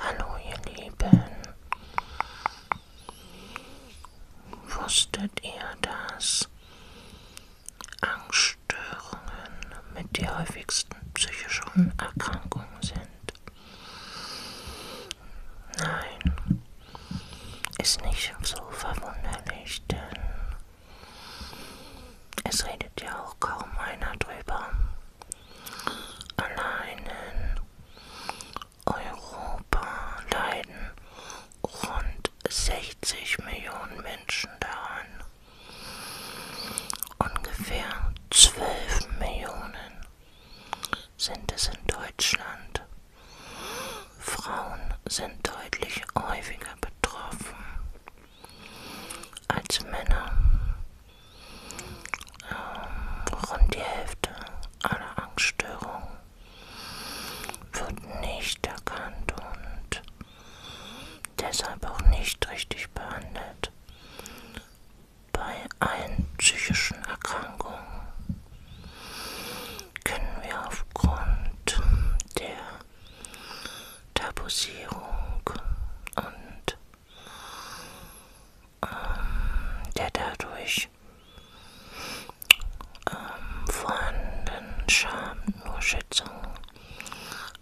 Hallo ihr Lieben. Wusstet ihr, dass Angststörungen mit die häufigsten psychischen Erkrankungen sind? Nein, ist nicht so verwunderlich, denn es redet ja auch kaum einer drüber. Allein in Europa leiden rund 60 Millionen Menschen daran. Ungefähr 12 Millionen sind es in Deutschland. Frauen sind deutlich häufiger betroffen als Männer ähm, rund die Hälfte aller Angststörungen wird nicht erkannt und deshalb auch nicht richtig behandelt. Bei allen psychischen Erkrankungen können wir aufgrund der Tabuisierung und ähm, der dadurch ähm, vorhandenen Scham nur Schätzung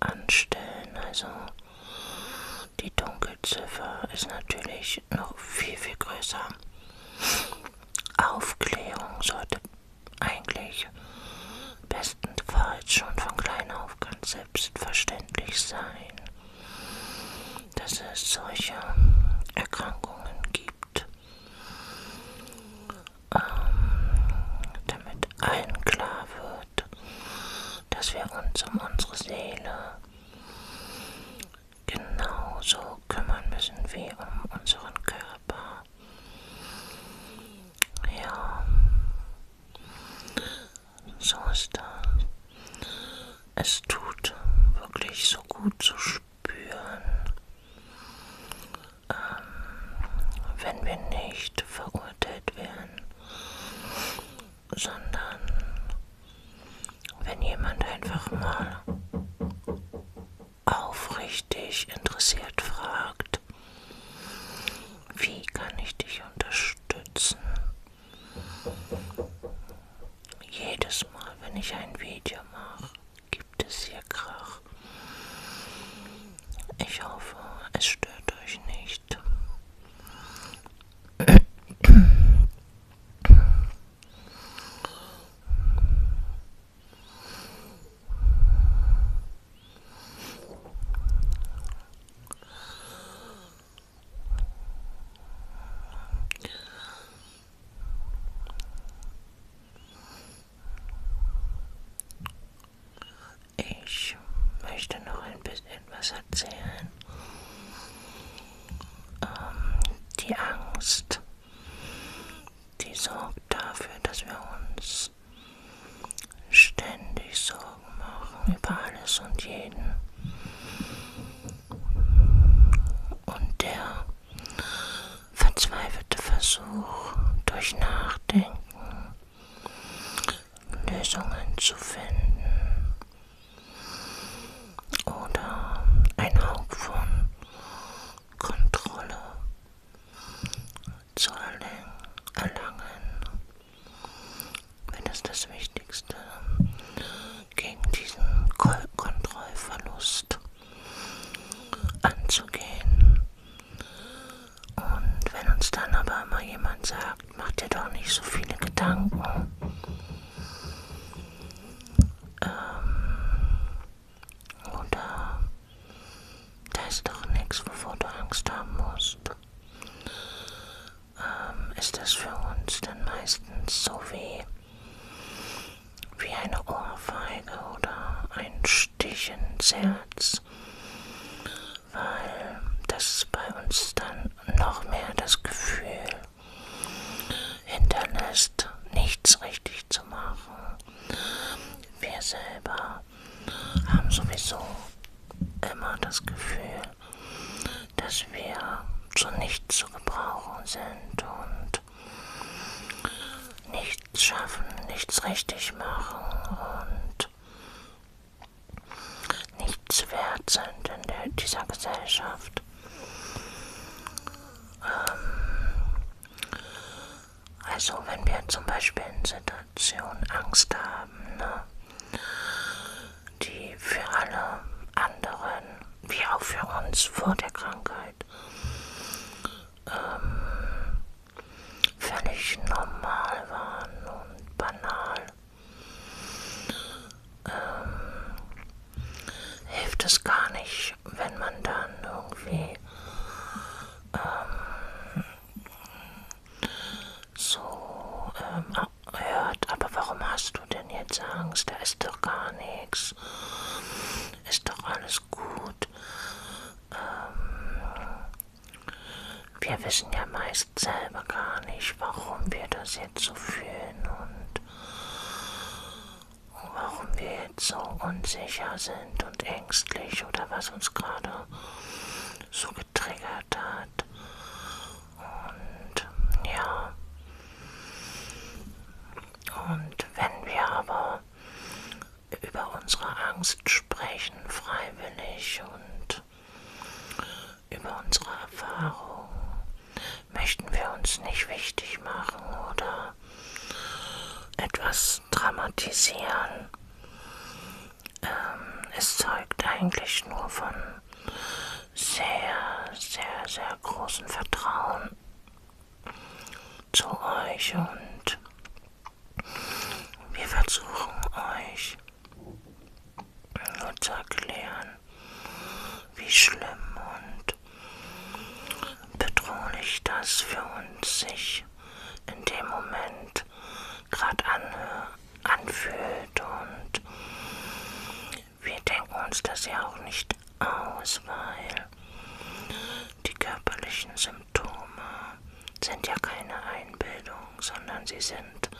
anstellen. Also die Dunkelziffer ist natürlich noch viel, viel größer. Aufklärung sollte eigentlich bestenfalls schon von klein auf ganz selbstverständlich sein, dass es solche Erkrankungen gibt, ähm, damit allen klar wird, dass wir uns um unsere Seele genauso kümmern müssen wie um unseren Körper. Ja, so ist das. Es tut wirklich so gut zu spüren, ähm, wenn wir nicht verurteilt werden, sondern wenn jemand einfach mal aufrichtig interessiert fragt, wie kann ich dich unterstützen? Jedes Mal, wenn ich ein Video mache, gibt es hier Krach. Ich hoffe, es stört euch nicht. Ich möchte noch ein bisschen was erzählen. Ähm, die Angst, die sorgt dafür, dass wir uns uns ständig Sorgen machen über alles und jeden. Und der verzweifelte Versuch, durch Nachdenken Lösungen zu finden oder ein Haupt von Kontrolle Zollen erlangen, wenn es das Wichtigste gegen diesen Kontrollverlust anzugehen. Und wenn uns dann aber immer jemand sagt, mach dir doch nicht so viele Gedanken, ähm, oder da ist doch nichts, wovor du Angst haben musst. Ähm, ist das für uns dann meistens so wie, wie eine Ohrfeige oder ein Stich ins Herz? Weil das bei uns dann noch mehr das Gefühl hinterlässt, nichts richtig zu machen. Wir selber haben sowieso immer das Gefühl, dass wir zu nichts zu gebrauchen sind und nichts schaffen, nichts richtig machen und nichts wert sind in der, dieser Gesellschaft. Ähm, also wenn wir zum Beispiel in Situationen Angst haben, ne, die für alle anderen, wie auch für uns vor der Krankheit, ähm, völlig normal waren und banal, ähm, hilft es gar nicht, wenn man dann irgendwie ähm, so ähm, hört, ah, aber warum hast du denn jetzt Angst? Da ist doch gar nichts. Ist doch alles gut. Ähm, wir wissen ja meist selber gar nicht, warum wir das jetzt so fühlen und warum wir jetzt so unsicher sind und ängstlich oder was uns gerade so getriggert hat. Und ja. Und wenn wir aber über unsere Angst sprechen, freiwillig und über unsere Erfahrung, möchten wir uns nicht wichtig machen oder etwas dramatisieren. Ähm, es zeugt eigentlich nur von sehr, sehr, sehr großem Vertrauen zu euch und wir versuchen euch nur zu erklären, wie schlimm und bedrohlich das für uns sich sich in dem Moment gerade an, anfühlt. Und wir denken uns das ja auch nicht aus, weil die körperlichen Symptome sind ja keine Einbildung, sondern sie sind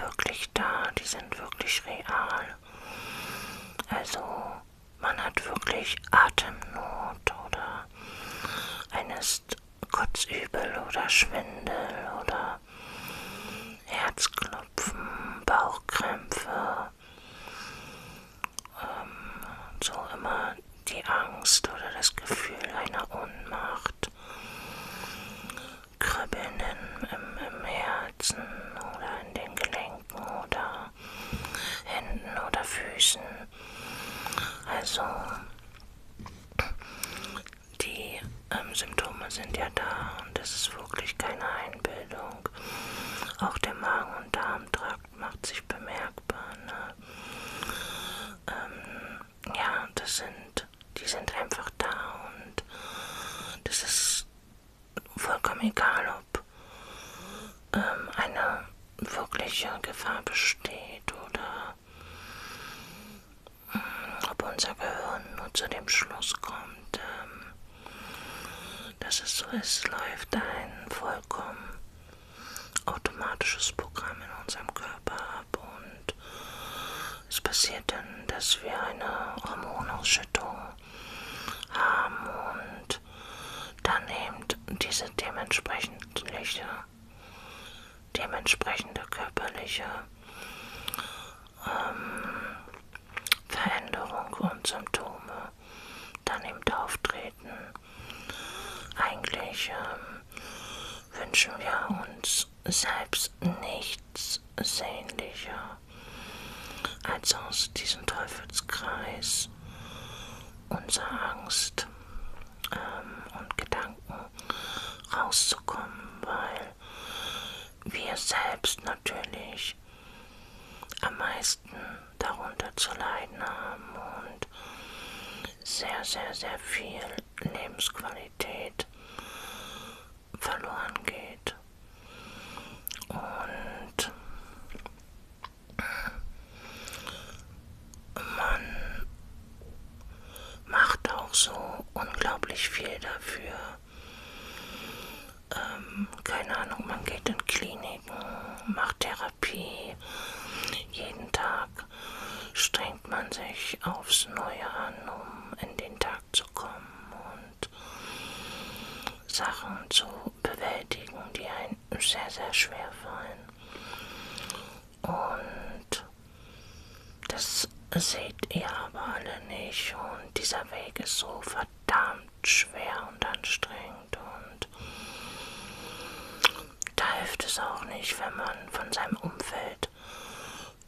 wirklich da, die sind wirklich real. Also man hat wirklich Atemnot oder ein ist Kotzübel oder Schwindel oder Herzklopfen, Bauchkrämpfe, ähm, so immer die Angst oder das Gefühl einer Ohnmacht, Kribbeln im, im, im Herzen oder in den Gelenken oder Händen oder Füßen. Also die ähm, Symptome sind ja da und es ist wirklich keine Einbildung. Auch der Magen- und Darmtrakt macht sich bemerkbar. Ne? Ähm, ja, das sind, die sind einfach da und das ist vollkommen egal, ob ähm, eine wirkliche Gefahr besteht oder ähm, ob unser Gehirn nur zu dem Schluss kommt, ähm, dass es so ist, läuft ein vollkommen automatisches Programm in unserem Körper ab und es passiert dann, dass wir eine Hormonausschüttung haben und und dann eben diese dementsprechende, dementsprechende körperliche ähm, Veränderung und Symptome dann eben auftreten. Eigentlich ähm, wünschen wir uns selbst nichts sehnlicher als aus diesem Teufelskreis unserer Angst ähm, und Gedanken rauszukommen, weil wir selbst natürlich am meisten darunter zu leiden haben und sehr, sehr, sehr viel Lebensqualität verloren geht. Und man macht auch so unglaublich viel dafür. Ähm, keine Ahnung, man geht in Kliniken, macht Therapie. Jeden Tag strengt man sich aufs Neue an, um in den Tag zu kommen und Sachen zu bewältigen, die einen sehr, sehr schwer fallen. Und das seht ihr aber alle nicht. Und dieser Weg ist so verdammt schwer und anstrengend. Und da hilft es auch nicht, wenn man von seinem Umfeld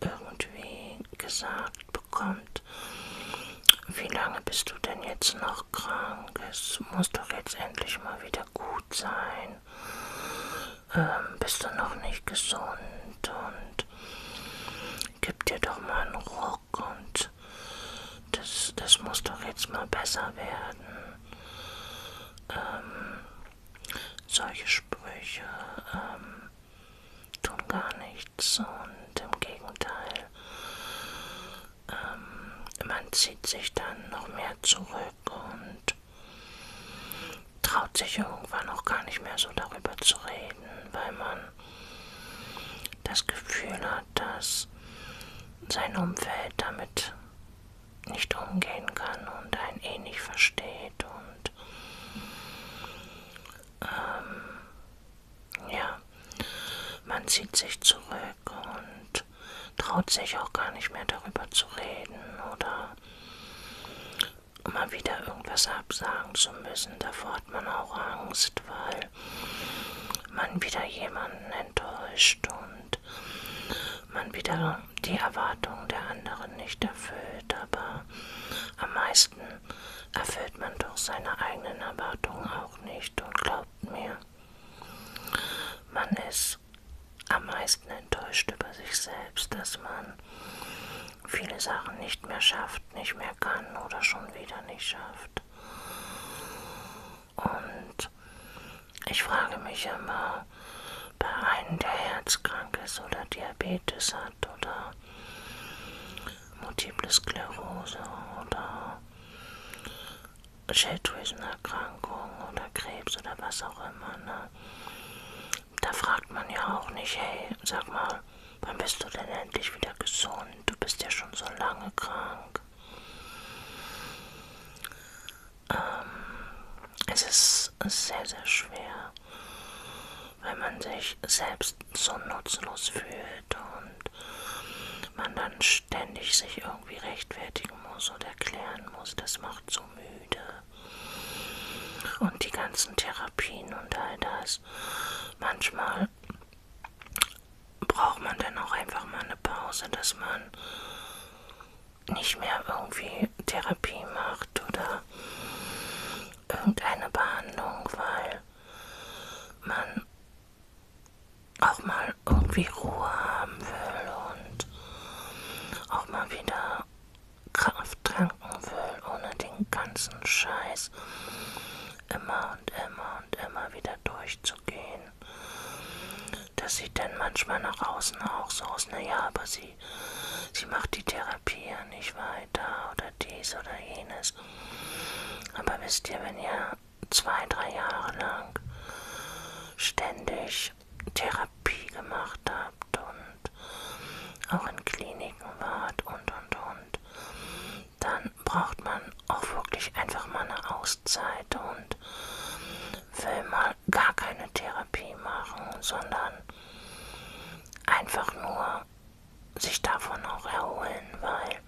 irgendwie gesagt bekommt. Wie lange bist du denn jetzt noch krank? Es muss doch jetzt endlich mal wieder gut sein. Ähm, bist du noch nicht gesund und gib dir doch mal einen Ruck und das, das muss doch jetzt mal besser werden. Ähm, solche Sprüche ähm, tun gar nichts und im Gegenteil ähm, man zieht sich dann noch mehr zurück und traut sich irgendwann auch gar nicht mehr so darüber zu reden, weil man das Gefühl hat, dass sein Umfeld damit nicht umgehen kann und einen eh nicht versteht und ähm, ja, man zieht sich zurück und traut sich auch gar nicht mehr darüber zu reden oder mal wieder irgendwas absagen zu müssen. Davor hat man auch Angst, weil man wieder jemanden enttäuscht und man wieder die Erwartungen der anderen nicht erfüllt. Aber am meisten erfüllt man doch seine eigenen Erwartungen auch nicht und glaubt mir, man ist am meisten enttäuscht über sich selbst, dass man viele Sachen nicht mehr schafft, nicht mehr kann oder schon wieder nicht schafft. Und ich frage mich immer, bei einem, der herzkrank ist oder Diabetes hat oder Multiple Sklerose oder Schilddrüsenerkrankung oder Krebs oder was auch immer. Ne? Da fragt man ja auch nicht, hey, sag mal, wann bist du denn endlich wieder gesund? Du bist ja schon so lange krank. Ähm, es ist sehr, sehr schwer wenn man sich selbst so nutzlos fühlt und man dann ständig sich irgendwie rechtfertigen muss oder erklären muss, das macht so müde. Und die ganzen Therapien und all das. Manchmal braucht man dann auch einfach mal eine Pause, dass man nicht mehr irgendwie Therapie macht oder irgendeine Behandlung, weil man auch mal irgendwie Ruhe haben will und auch mal wieder Kraft tanken will, ohne den ganzen Scheiß immer und immer und immer wieder durchzugehen. Das sieht dann manchmal nach außen auch so aus, naja, aber sie, sie macht die Therapie ja nicht wahr, weiter oder dies oder jenes. Aber wisst ihr, wenn ihr zwei, drei Jahre lang ständig Therapie gemacht habt und auch in Kliniken wart und und und, dann braucht man auch wirklich einfach mal eine Auszeit und will mal gar keine Therapie machen, sondern einfach nur sich davon auch erholen, weil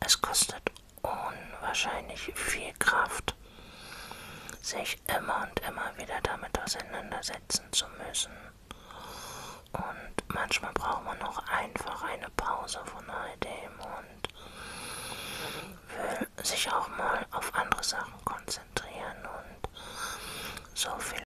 es kostet unwahrscheinlich viel Kraft, sich immer und immer wieder damit auseinandersetzen zu müssen. Und manchmal braucht man auch einfach eine Pause von all dem und will sich auch mal auf andere Sachen konzentrieren und so viel